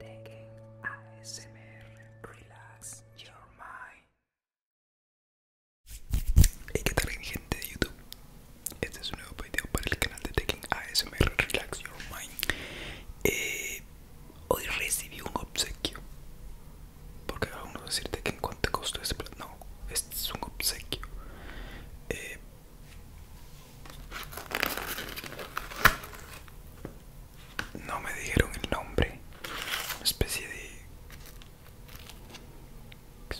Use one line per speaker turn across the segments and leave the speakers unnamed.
TEKKEN ASMR Relax Your Mind. Hey, ¿qué tal, gente de YouTube? Este es un nuevo video para el canal de Taking ASMR Relax Your Mind. Eh, hoy recibí un obsequio. Porque algunos decirte que en cuánto costó este plato. No, este es un obsequio. Eh, no me dijeron el nombre. Una especie de.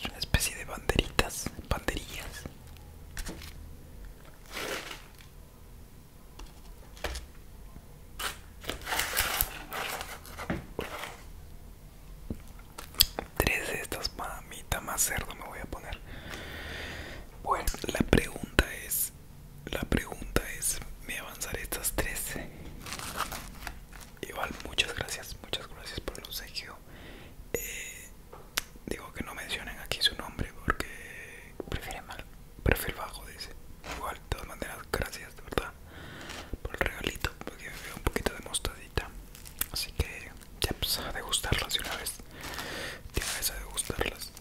una especie de banderitas, banderillas. Tres de estas mamita más cerdo me voy a poner. Bueno, la pregunta es, la pregunta es, me avanzaré estas 13 Igual, muchas gracias, muchas gracias por el consejo eh, digo que no mencionen aquí su nombre porque prefiere mal, perfil bajo dice. Igual, de todas maneras, gracias de verdad por el regalito, porque me veo un poquito de mostadita. Así que ya pues a degustarlas de una vez. Pues, de una vez a degustarlas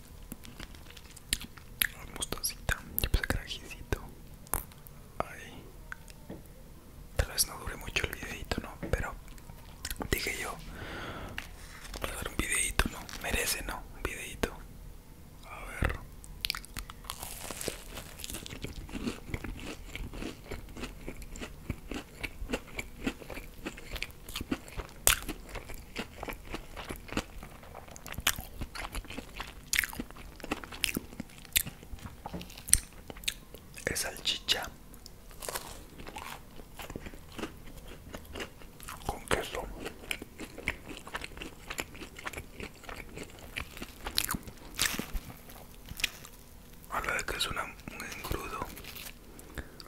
mostacita, yo puse carajicito. Ay, tal vez no dure mucho el videito, ¿no? Pero dije yo, voy a dar un videito, ¿no? Merece, ¿no? Un videito. A ver es salchicha con queso a la vez que es un engrudo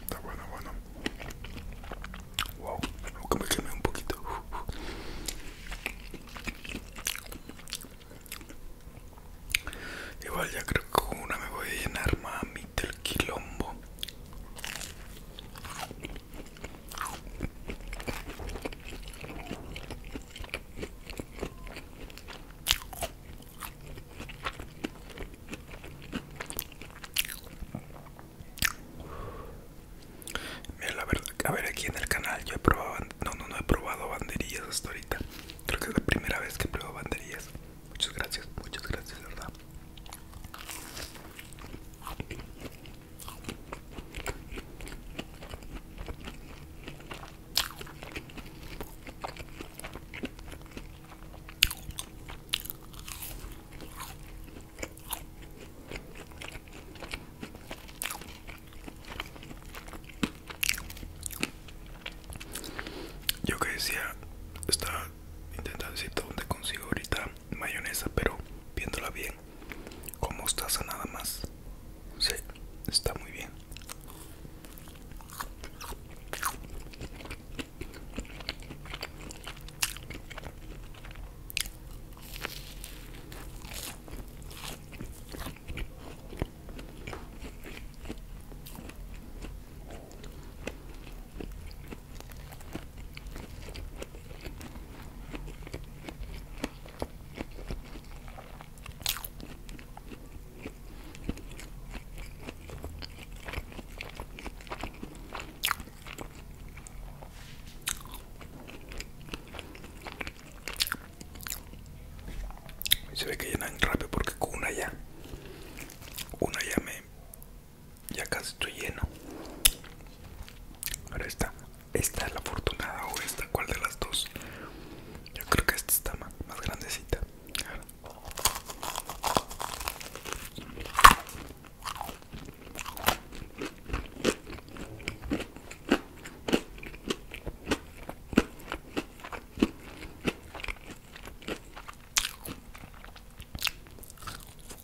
Está bueno, bueno. Wow, que me quemé un poquito. Igual ya creo que una me voy a llenar mami del quilombo. Mira, la verdad, a ver aquí en el canal yo he probado, no, no, no he probado banderillas hasta ahorita. Creo que es la primera vez que pruebo banderillas. Muchas gracias, muchas gracias, verdad. Yo que decía, estaba intentando decir dónde consigo ahorita mayonesa, pero viéndola bien, estás a nada más. Sí, está muy bien. Se ve que llenan rápido porque con una ya, una ya me, ya casi estoy lleno. Ahora está, esta es la afortunada o esta, ¿cuál de las dos? Yo creo que esta está más, grandecita.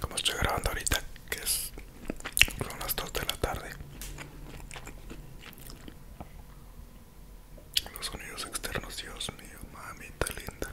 Como estoy grabando ahorita, que es son las 2 de la tarde los sonidos externos, Dios mío, mamita linda.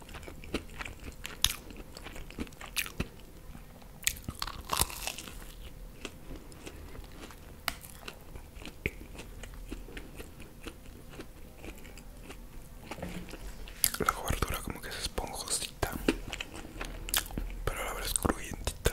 La cobertura como que es esponjosita, pero la la es cruyentita.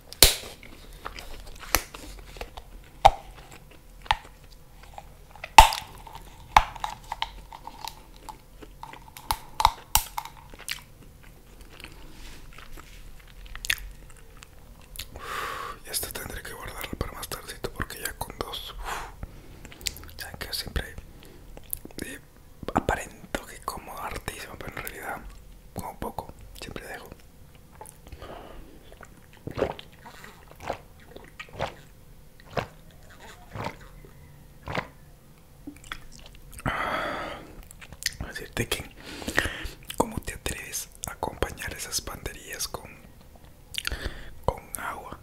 Y esto tendré que guardarlo para más tardito porque ya con dos. que siempre eh, aparento que como hartísimo, pero en realidad como poco, siempre dejo. Ah, decirte que cómo te atreves a acompañar esas banderías con con agua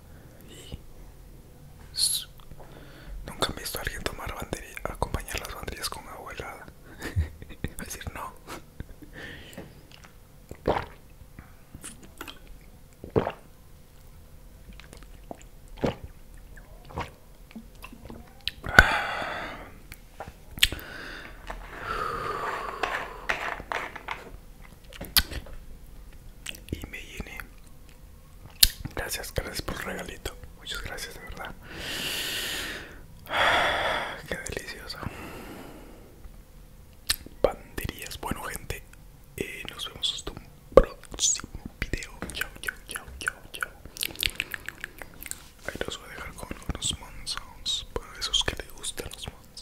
nunca he visto a alguien tomar bandería acompañar las banderías con agua helada Va decir no. Y me llené. Gracias, gracias por el regalito. Muchas gracias, de verdad. Qué delicioso. Panderías. Bueno, gente, eh, nos vemos hasta un próximo video. Chao, chao, chao, chao, chao. Ahí los voy a dejar con unos monzons. Para esos que les gustan los monzons.